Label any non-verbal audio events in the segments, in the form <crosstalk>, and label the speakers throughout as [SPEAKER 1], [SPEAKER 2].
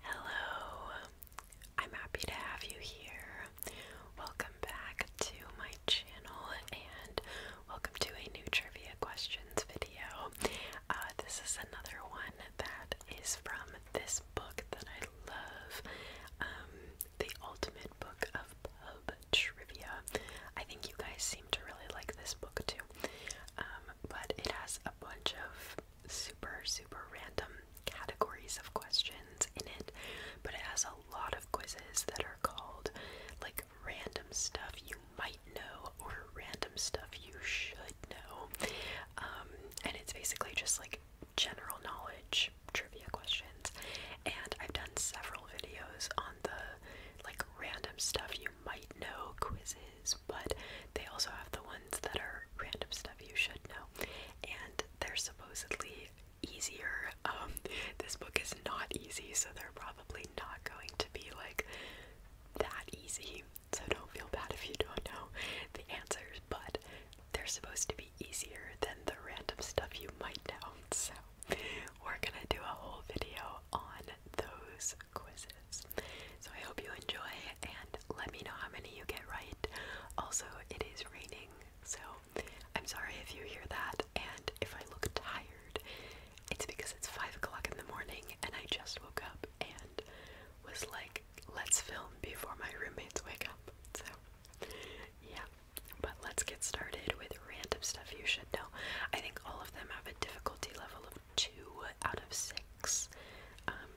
[SPEAKER 1] Hello, I'm happy to have you here. Welcome back to my channel and welcome to a new trivia questions video. Uh, this is another one that is from this book that I love um, The Ultimate Book of Pub Trivia. I think you guys seem to really like this book too, um, but it has a bunch of super, super random categories of questions in it, but it has a lot of quizzes that are called like random stuff you might know or random stuff you should know. Um, and it's basically just like general knowledge trivia questions. And I've done several videos on the like random stuff you might know quizzes but they also have the ones that are random stuff you should know, and they're supposedly easier. Um, <laughs> this book is not easy, so they're probably not going to be like that easy. So don't feel bad if you don't know the answers, but they're supposed to be easier than the random stuff you might know. So we're gonna do a whole video on those quizzes. So I hope you enjoy and let me know how many you get right. Also, it is raining, so I'm sorry if you hear that and if I look tired. It's because it's 5 o'clock in the morning and I just woke up and was like, let's film before my roommates wake up. So, yeah. But let's get started with random stuff you should know. I think all of them have a difficulty level of 2 out of 6. Um,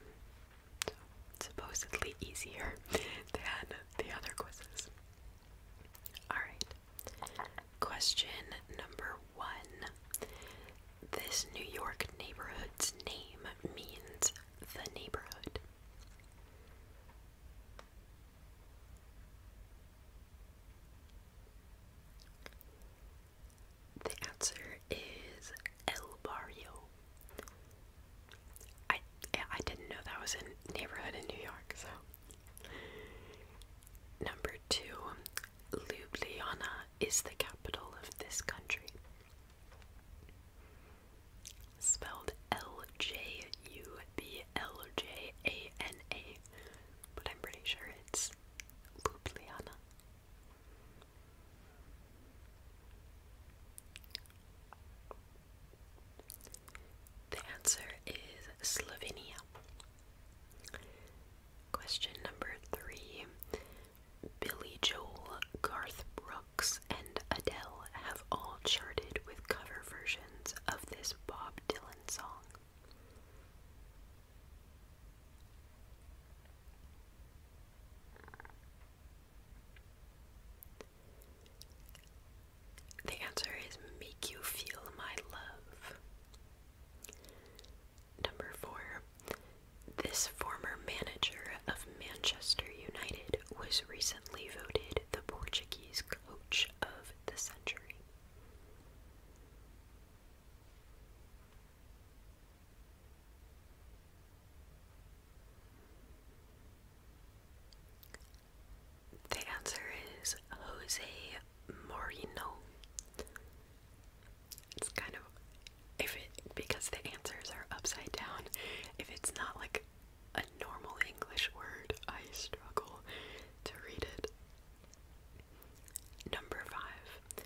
[SPEAKER 1] so, supposedly easier than the other quizzes. Alright, question number one. This New York neighborhood's name means the neighborhood. The answer is El Barrio. I I didn't know that was a neighborhood in New York, so number two, Ljubljana is the capital of this country. Spelled L J U B L J A N A, but I'm pretty sure it's Ljubljana. The answer is Slovenia. Question number three Billy Joel, Garth Brooks, and Adele have all charted with cover versions of this Bob Dylan song. The answer is make you feel my love. Number four, this former manager of Manchester United was recently voted the Portuguese coach of the century. The answer is Jose Moreno. It's kind of if because the answers are upside down, if it's not like a normal English word, I struggle to read it. Number five,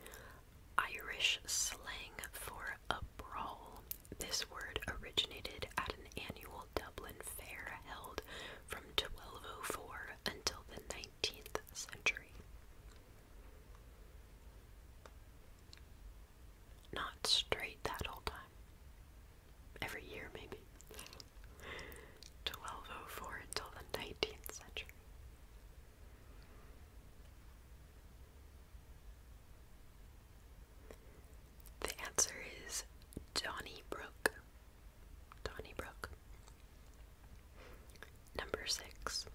[SPEAKER 1] Irish slang for a brawl. This word originated at an annual Dublin fair held from 1204 until the 19th century. Not straight that whole time. Every year, maybe. 1204 until the 19th century. The answer is Johnny Brook. Number six.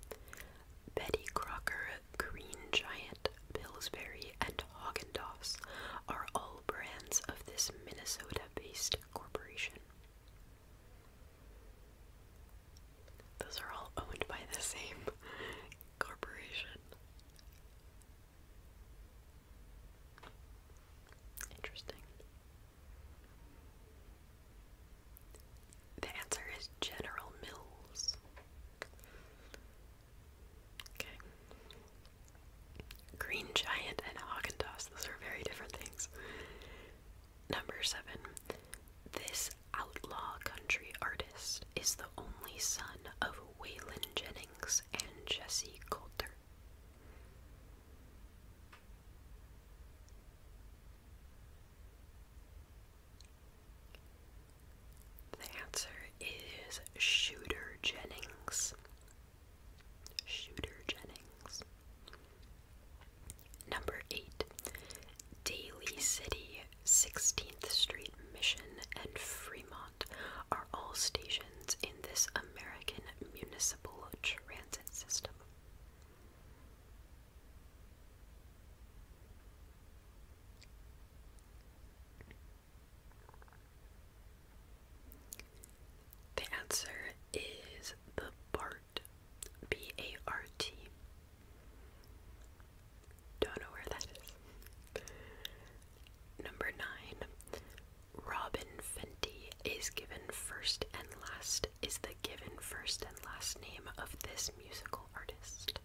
[SPEAKER 1] Betty Crocker, Green Giant, Pillsbury, and Haagen Dazs are all brands of this Minnesota-based corporation. Those are all owned by the same <laughs> corporation. Interesting. The answer is General Mills. Okay. Green Giant and haagen those are very different things. Number seven, this outlaw country artist is the only son of Waylon Jennings and Jesse Coulter. The answer is Shooter Jennings. Shooter Jennings. Number 8. Daly City, 16th Street Mission, and Fremont are all stations in this American municipal transit system. The answer is the BART Bart. A R T. Don't know where that is. Number nine. Robin Fenty is given first and last is the given first and last name of this musical artist.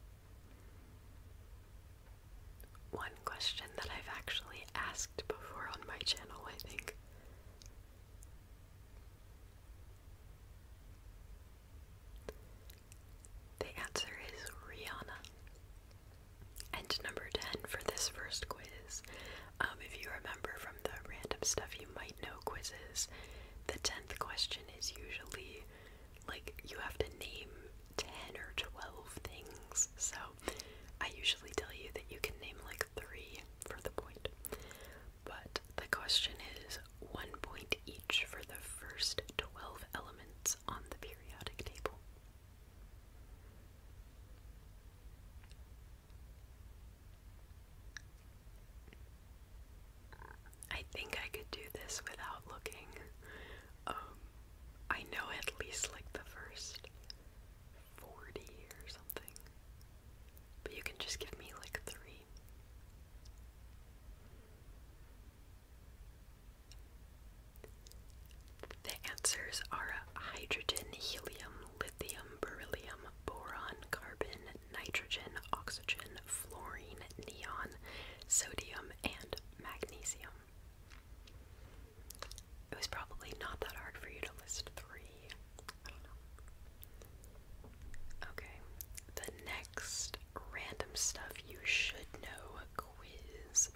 [SPEAKER 1] One question that I've actually asked before on my channel, I think. The answer is Rihanna. And number 10 for this first quiz. Um, if you remember from the random stuff you might know quizzes, the 10th question is usually like you have to name 10 or 12 things. So I usually tell you that you can name like three for the point. But the question is one point each for the first 12 elements on the periodic table. I think I could do this without looking. Um, I know at least like the first 40 or something. But you can just give me like three. The answers are hydrogen, helium, lithium, beryllium, boron, carbon, nitrogen, oxygen, fluorine, neon, sodium, and magnesium. It was probably not that hard for you to list three. Okay, the next random stuff you should know quiz.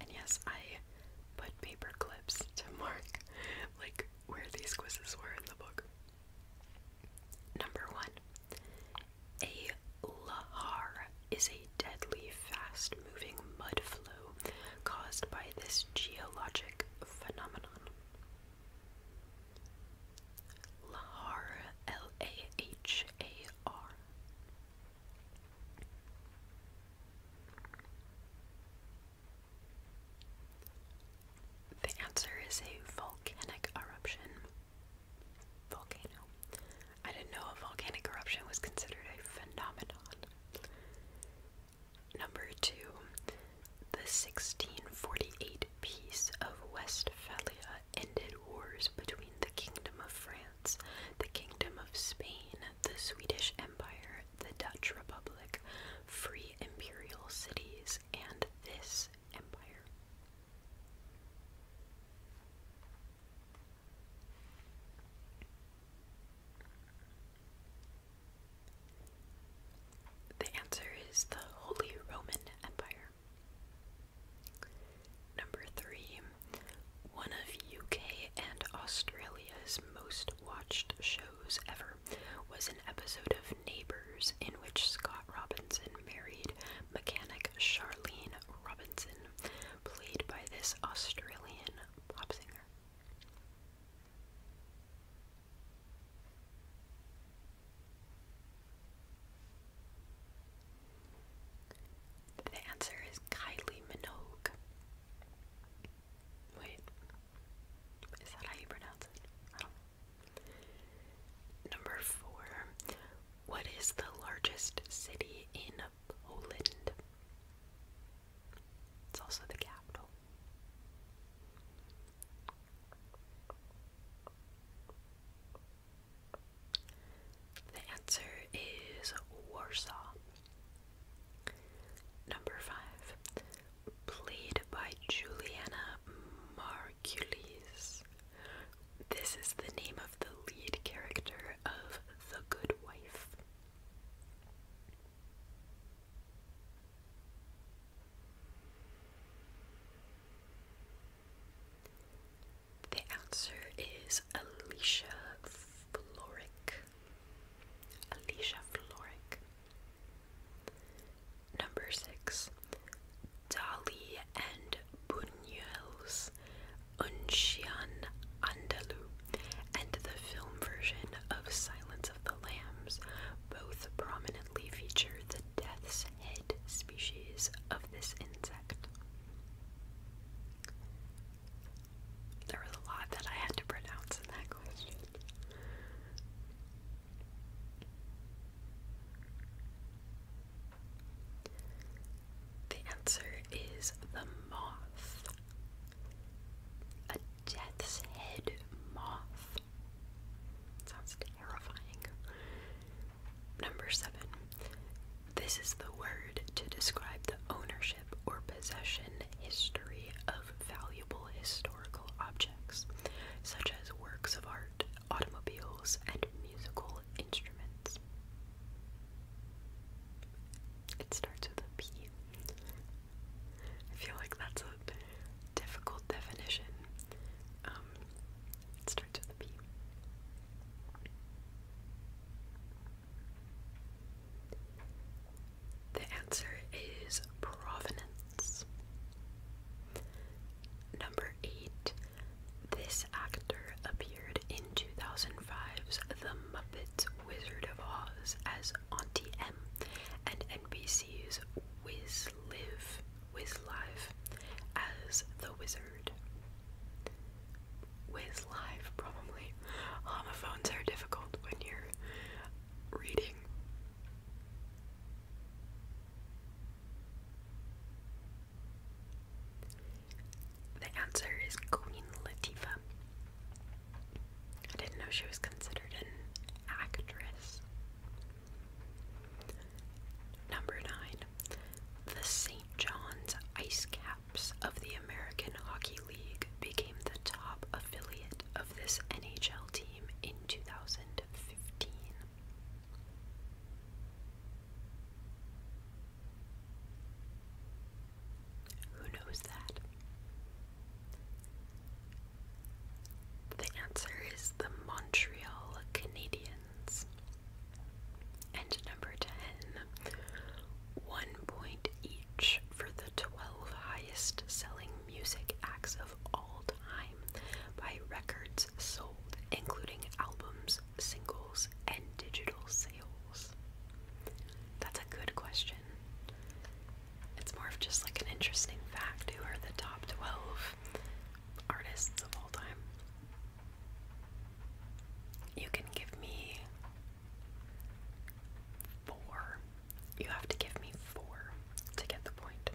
[SPEAKER 1] And yes, I put paper clips to mark like where these quizzes were in the book. Number one, a lahar is a deadly fast moving mud flow caused by this geologic phenomenon. Lahar, L A H A R. The answer is a volcanic eruption. Volcano. I didn't know a volcanic eruption was considered a phenomenon. Number two, the 1648 Peace of Westphalia ended wars between the Kingdom of France, the Kingdom of Spain, the Swedish Empire, the Dutch Republic, free imperial cities, and this empire. The answer is the Holy Roman Empire. Number three, one of UK and Australia's most watched shows ever was an episode of Neighbours in which Scott Robinson married mechanic Charlene Robinson, played by this Australian pop singer. The answer is Kylie Minogue. Wait, is that how you pronounce it? Number four. What is the largest city in Poland? It's also the capital. The answer is Warsaw. Number five, played by Juliana Margulies. This is the name of the lead character of The Good Wife. The answer is Alicia Floric. Alicia Floric. Number six, Dali and Buñuel's Uncian Andalu and the film version of Silence of the Lambs both prominently feature the death's head species of this insect. There was a lot that I had to pronounce in that question. The answer is the moth. Death's Head Moth. Sounds terrifying. Number seven. This is the word to describe the ownership or possession history of valuable historical objects, such as works of art, automobiles, and musical instruments. It starts with a P. I feel like that's a difficult definition. Um, it starts with a P. The answer is provenance. Number eight. This actor appeared in 2005's The Muppets Wizard of Oz as Auntie M, and NBC's Wiz Live, Wiz Live, as the wizard. Wiz Live, probably. Homophones are difficult when you're reading. The answer is Queen Latifah. I didn't know she was considered an actress. Number 9. The St. John's Ice Caps of the American Hockey League became the top affiliate of this NHL team in 2015. Who knows that? The answer is the Montreal Canadiens. And number 10, one point each for the 12 highest selling music acts of all time by records sold, including albums, singles, and digital sales. That's a good question. It's more of just like an interesting fact who are the top 12 artists of all time. You can give me four. You have to give me four to get the point.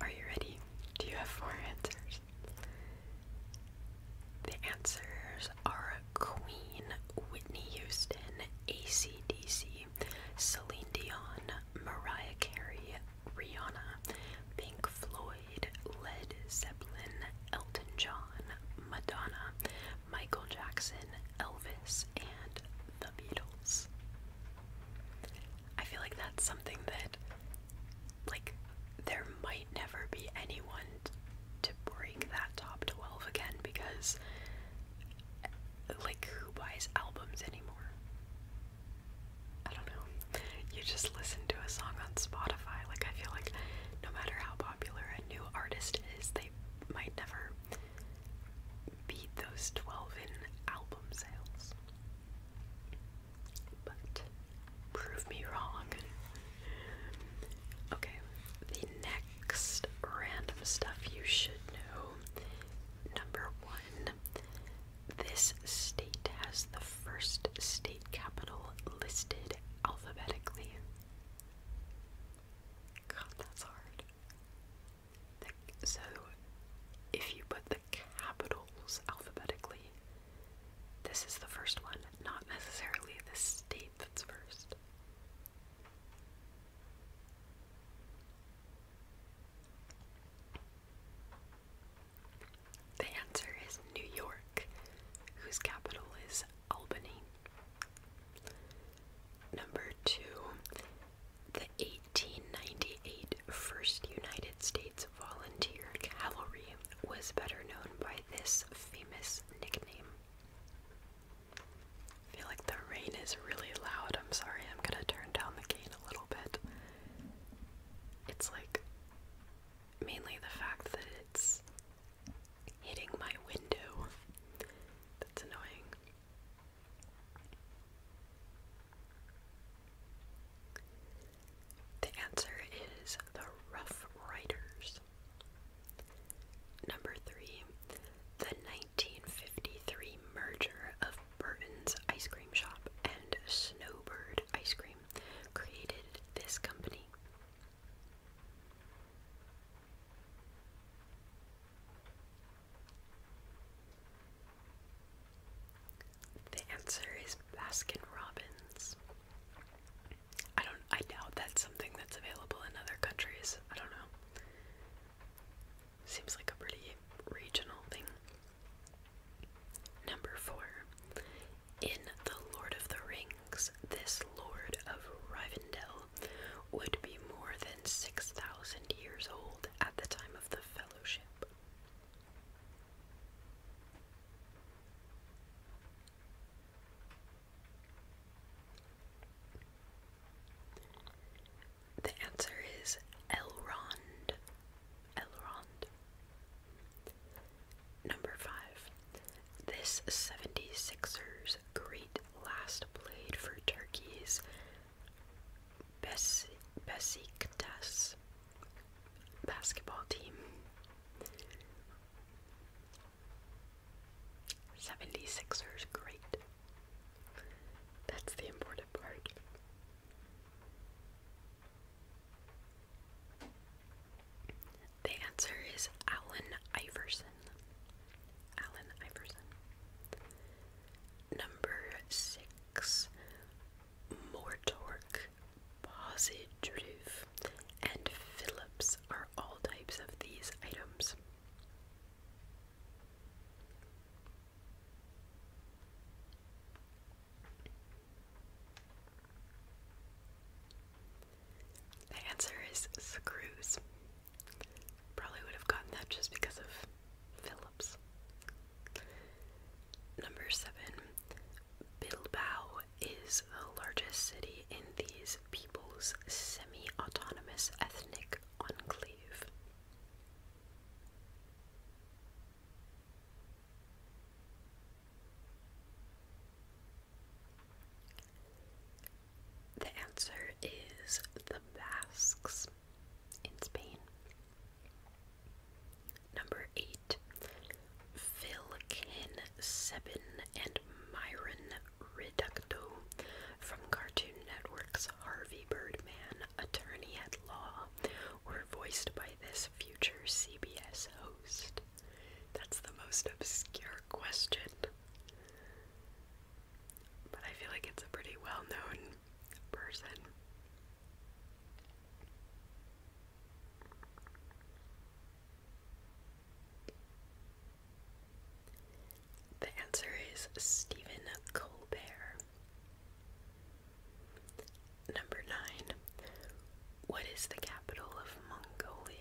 [SPEAKER 1] Are you ready? Do you have four answers? The answers are Queen, Whitney Houston, ACDC, Celine Dion, Mariah Carey, Rihanna, Pink Floyd, Led Zeppelin, Elton John, Madonna, Michael Jackson, Elvis, and the Beatles. I feel like that's something that, like, there might never be anyone to break that top 12 again because, like, who buys albums anymore? I don't know. You just listen to a song on Spotify. Like, I feel like no matter how popular a new artist is, they might never beat those 12 in album sales. But prove me wrong. Okay, the next random stuff you should know. Number one, this state has the first state capital listed alphabetically. God, that's hard so, if you put the capitals alphabetically, this is the first one, not necessarily the state that's first. The answer is New York, whose capital is Albany. Number two the 1898 First United States Volunteer Cavalry was better known by this famous nickname. I feel like the rain is really loud. I'm sorry, I'm gonna turn down the gain a little bit. It's like mainly the fact that it's hitting my window that's annoying. The answer is the Rough Riders. Number three, the 1953 merger of Burton's Ice Cream Shop and Snowbird Ice Cream created this company. The answer is Baskin Robbins. I don't I doubt that's something that's available in other countries. I don't know. Seems like a pretty regional thing. Number 4. In The Lord of the Rings, this Lord of Rivendell would be more than 6,000 years old at the time of the fellowship. The answer is Elrond. Elrond. Number 5. This 76ers great last played for Turkey's Bes Besiktas basketball team. 76ers, great. That's the important part. The answer is Allen Iverson. Allen Iverson. Number six, Mortork, Positruf, and Phillips are all types of these items. The answer is screws. Probably would have gotten that just because of Phillips. Number seven, Bilbao is the largest city in these people's semi autonomous ethnic enclave. The answer is the Basques in Spain. Number eight, Philkin Seven and Myron Reducto from Cartoon Network's Harvey Birdman, Attorney at Law, were voiced by this future CBS host. That's the most obscure question. But I feel like it's a pretty well known person. The answer is Stephen Colbert. Number 9. What is the capital of Mongolia?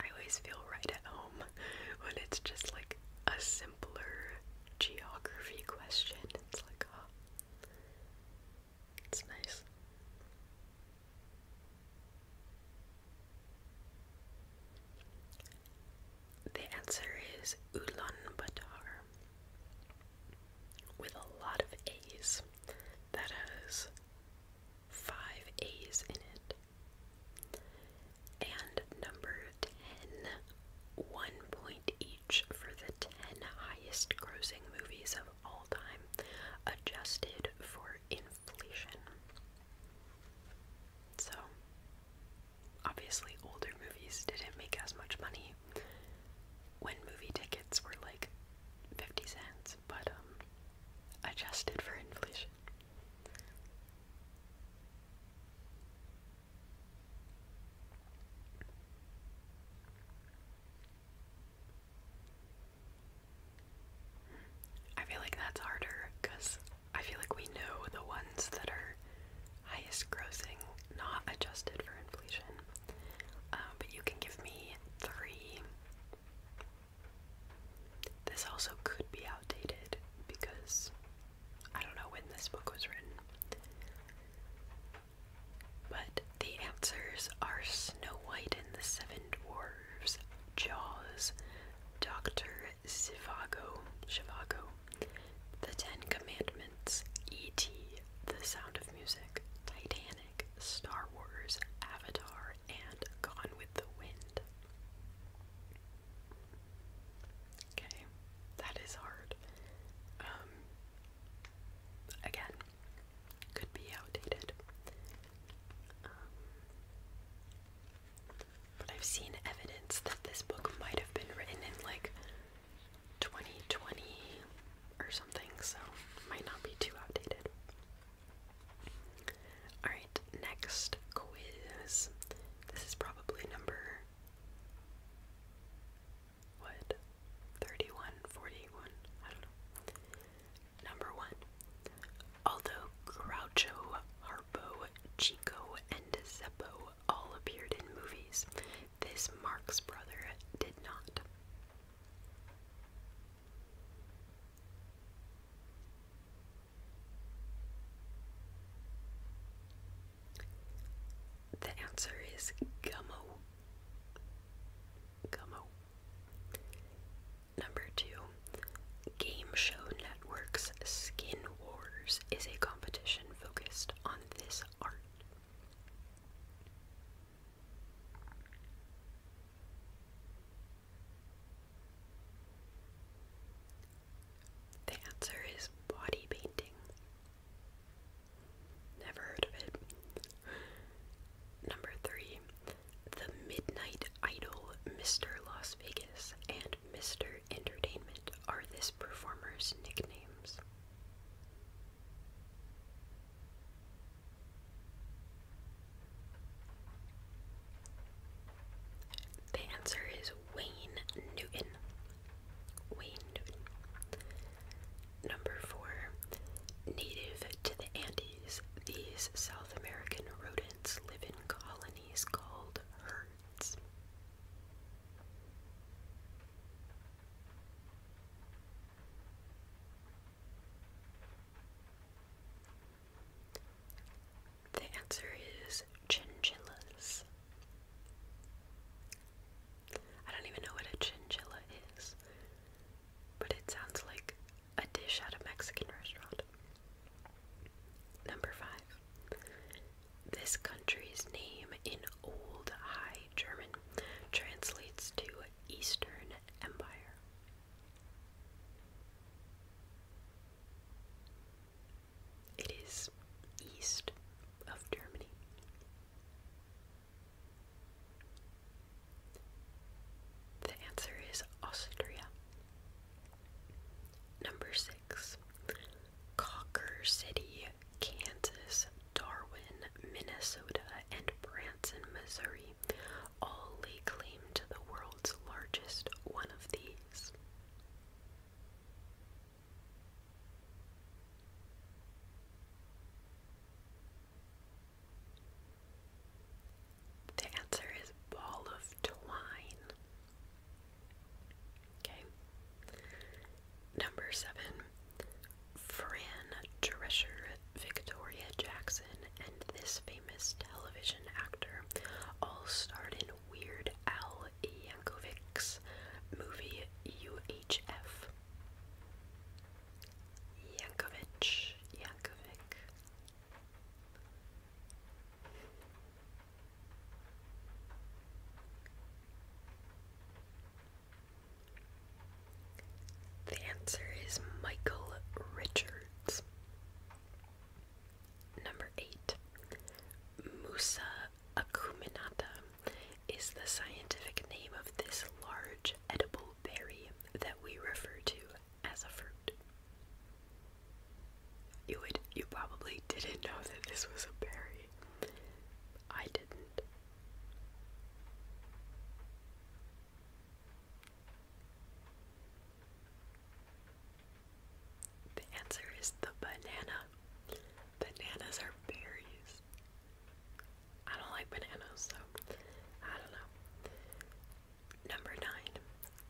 [SPEAKER 1] I always feel right at home <laughs> when it's just like a simpler geography question. It's like, oh, it's nice. The answer is Ulaanbaatar with a lot of A's. That has five A's in it. And number 10, point each for the 10 highest grossing movies of all time, adjusted for inflation. So, obviously, older movies didn't make as much money when movie tickets were like 50 cents, but um, adjusted for inflation. I feel like that's harder because I feel like we know the ones that are highest grossing, not adjusted for inflation. Um, but you can give me three. This also could be outdated because I don't know when this book was written. But the answers are Snow White and the Seven Dwarfs, Jaws, Dr. Zivago, Shivago, The Ten Commandments, E.T., The Sound of Music, Titanic, Star Wars, Avatar, and Gone with the Wind. Okay, that is hard. Um, again, could be outdated. Um, but I've seen evidence that this book might have been written in like 2020 or something, so might not be too outdated. Alright, next quiz. This is probably number what? 31, 41, I don't know. Number one. Although Groucho, Harpo, Chico, and Zeppo all appeared in movies, this Marx brother did not. The answer is gummo. Gummo. Number two, Game Show Network's Skin Wars is a competition focused on this art. The answer is body painting. Never heard of it. Number three, The Midnight Idol, Mr. Las Vegas, and Mr. Entertainment are this performer's nicknames. The answer is Wayne Newton. Wayne Newton. Number four. Native to the Andes, these South American rodents live in colonies called herds. The answer is chinchillas. I don't even know what a chinchilla is, but it sounds like a dish at a Mexican restaurant. Number five. This country's name in Old High German translates to Eastern Empire. It is east of Germany. The answer is Austria. Number six, Cocker City, Kansas, Darwin, Minnesota, and Branson, Missouri all lay claim to the world's largest one of these. The answer is ball of twine. Okay. Number seven. Fran Drescher, Victoria Jackson, and this famous television actor all starred Weird Al Yankovic's movie UHF. Yankovic, Yankovic. The answer is Michael Richards. Number 8. Musa acuminata is the scientific name of this large edible berry that we refer to as a fruit. You would you probably didn't know that this was a berry. I didn't. The answer is the banana. Bananas are berries. I don't like bananas, so I don't know. Number nine.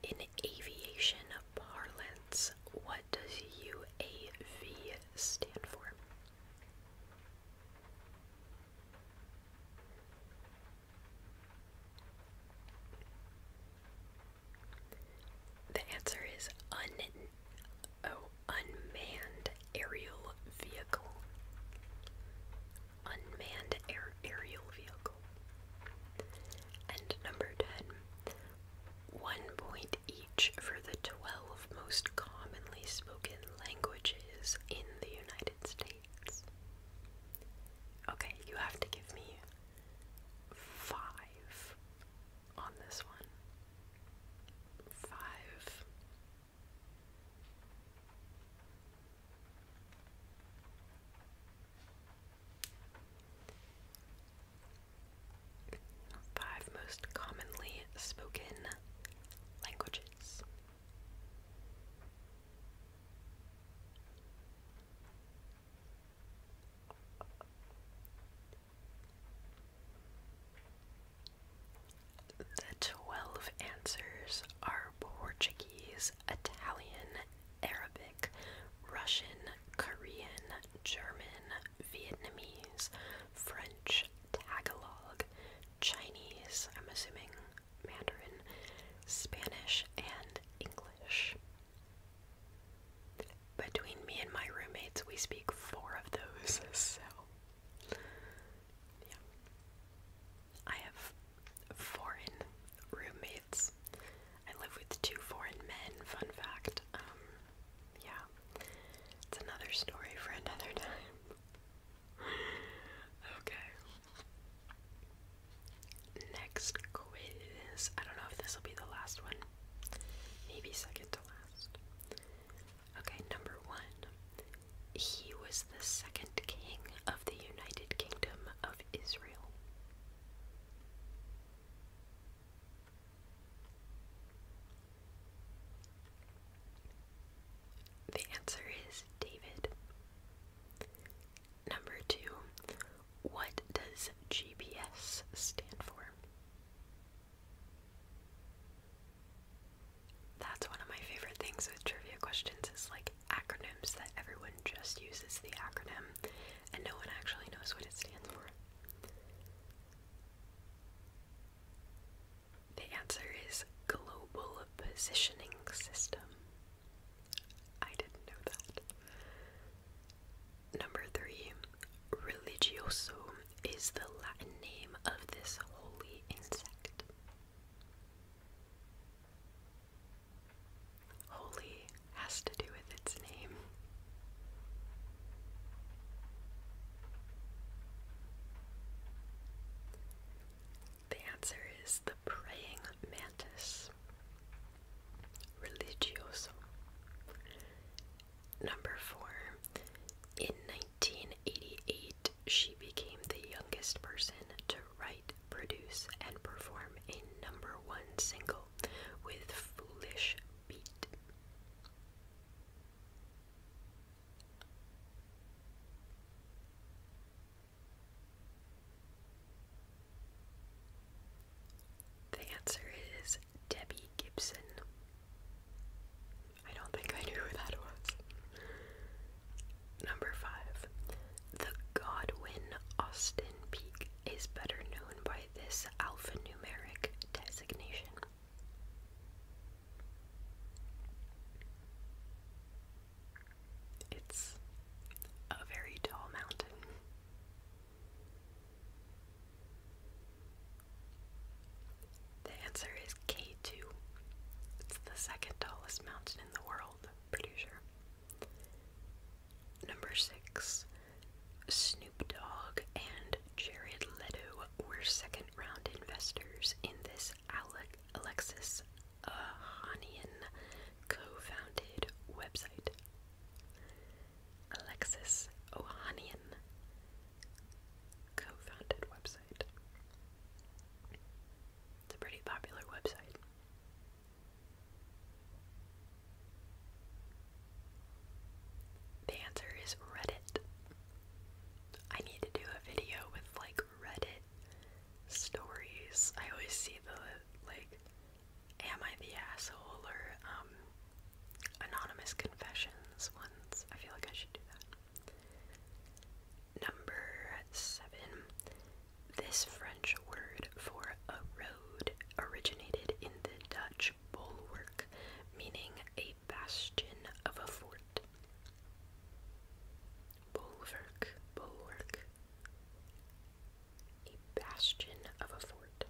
[SPEAKER 1] In aviation parlance, what does UAV stand for? The answer is un oh, unmanned aerial vehicle. Unmanned air aerial vehicle. And number 10, one point each for the 12 most commonly spoken languages in the United States. Okay, you have to give me five on this one. Five. Five most commonly spoken languages. The 12 answers are Portuguese, Italian, Arabic, Russian, Korean, German, Vietnamese, French, Tagalog, Chinese, I'm assuming Mandarin, Spanish, and English. Between me and my roommates, we speak four of those, <laughs> so yeah. I have foreign roommates. I live with two foreign men, fun fact. Um, yeah. It's another story for another <laughs> time. okay. Next quiz. I don't know if this will be the last one. Maybe second to last. Okay, number one. He was the second king of the United Kingdom of Israel. The answer is David. Number two, what does GPS stand for? That's one of my favorite things with trivia questions is like acronyms that everyone just uses the acronym and no one actually knows what it stands for. The answer is Global Positioning System. I didn't know that. Number three, religioso is the Latin name of this holy insect. Holy has to do with its name. The answer is the praying mantis religioso. Number four, in 1988, she became the youngest person to write, produce, and perform a number one single with Foolish Beat. The answer is Debbie Gibson. I don't think I knew who that was. Number five. The Godwin Austin Peak is better known by this alphanumeric designation. It's a very tall mountain. The answer is K2. It's the second tallest mountain in the world, pretty sure. Number six, Snoop Dogg and Jared Leto were second round investors in this Alec Alexis Ohanian co founded website. Alexis Ohanian co-founded website. It's a pretty popular website. The answer is Reddit. I need to do a video with like Reddit stories. I always see the like Am I the Asshole or um, Anonymous Confessions ones. I feel like I should do that. Number seven. This French word for a road originated in the Dutch bulwark, meaning a bastion of a fort. Bulwark, bulwark, a bastion of a fort.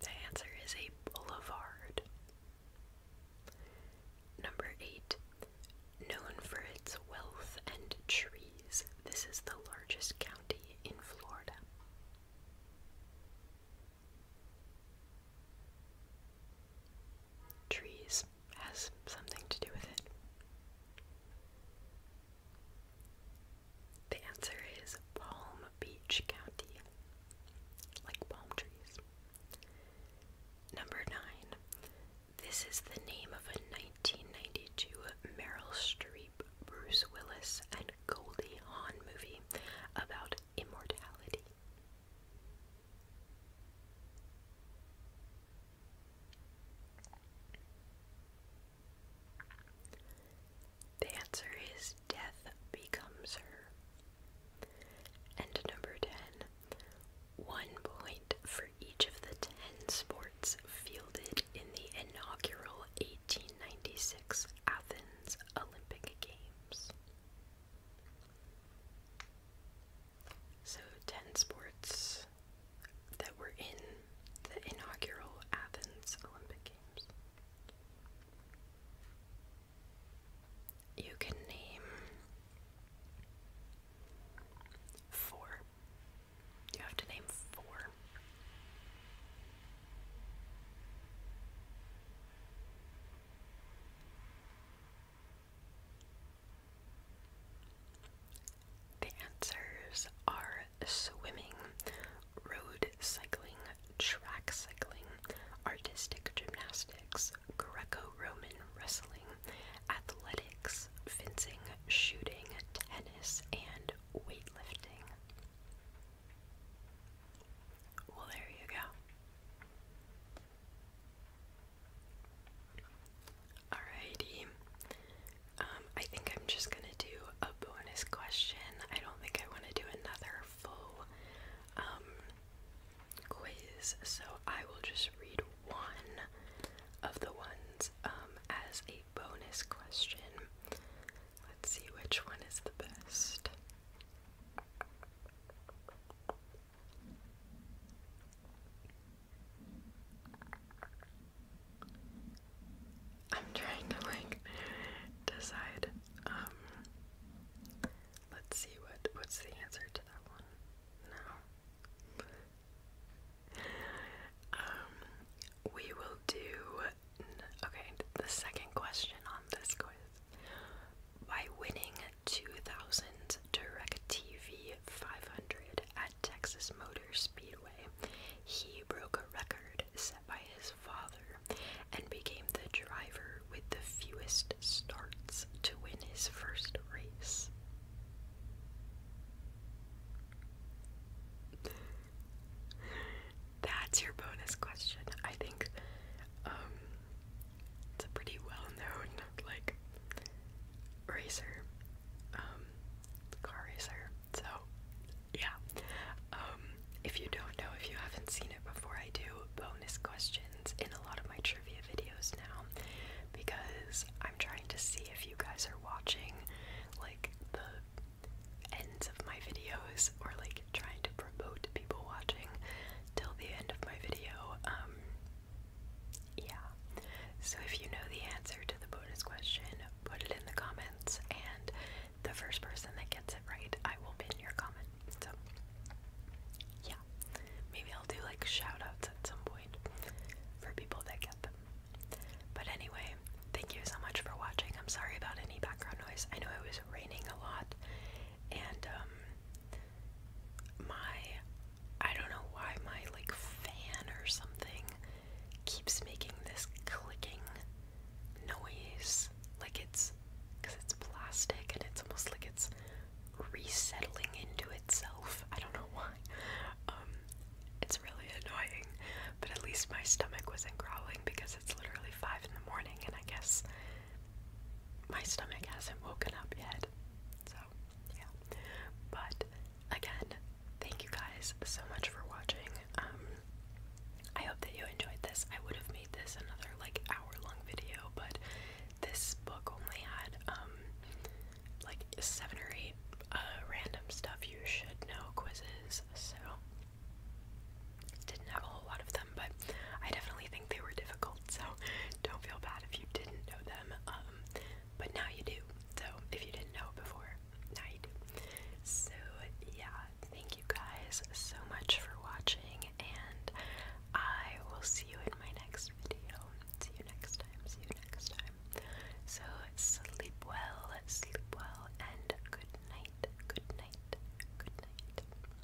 [SPEAKER 1] The answer is a boulevard. Number eight, known for its wealth and trees, this is the largest county in Florida trees has something to do with it? The answer is Palm Beach County, like palm trees. Number nine. This is the name of a 1992 Meryl Streep, Bruce Willis, and Goldie Hawn movie about immortality. The answer is death becomes her. And number 10. point for each of the 10 sports fielded in the inaugural 1896 Athens Olympic Games. So, 10 sports that were in the inaugural Athens Olympic Games. You can name four. You have to name four. The answers are swimming, road cycling, track cycling, artistic gymnastics, Greco Roman wrestling, athletics, fencing, shooting, tennis, and weightlifting. Well, there you go. Alrighty. Um, I think I'm just gonna do a bonus question. I don't think I want to do another full um, quiz, so I will just read one of the ones um, as a bonus question. Let's see which one is the best. I'm trying to like decide. Um, let's see what what's the answer to that one. No. Um, we will do. Okay, the second question on this quiz by winning 2000's DirecTV 500 at Texas Motor Speedway. He broke a record set by his father and became the driver with the fewest starts to win his first race. That's your bonus question. I think um, it's a pretty well-known like racer, um, car racer. So yeah, um, if you don't know, if you haven't seen it before, I do bonus questions in a lot of my trivia videos now because I'm trying to see if you guys are watching like the ends of my videos or like trying to promote people watching till the end of my video. Um, yeah. So if you know the answer to the bonus question, put it in the comments, and the first person that gets it right, I will pin your comment. So, yeah. Maybe I'll do like shout at some point for people that get them. But anyway, thank you so much for watching. I'm sorry about any background noise. I know it was raining a lot and um, my I don't know why my like fan or something keeps making this clicking noise like it's because it's plastic and it's almost like it's resettling into itself. I don't know <laughs> why. Um, it's really annoying, but at least my stomach wasn't growling because it's literally five in the morning, and I guess my stomach hasn't woken up yet. So, yeah. But again, thank you guys so much for watching. Um, I hope that you enjoyed this. I would have made this another like hour long video, but this book only had um, like seven or eight uh, random stuff you should know quizzes, so didn't have a whole lot of them but I definitely think they were difficult, <laughs> so don't feel bad if you didn't know them. Um, but now you do. So if you didn't know before, now you do. So yeah, thank you guys so much for watching, and I will see you in my next video. See you next time. See you next time. So sleep well, sleep well, and good night. Good night. Good night.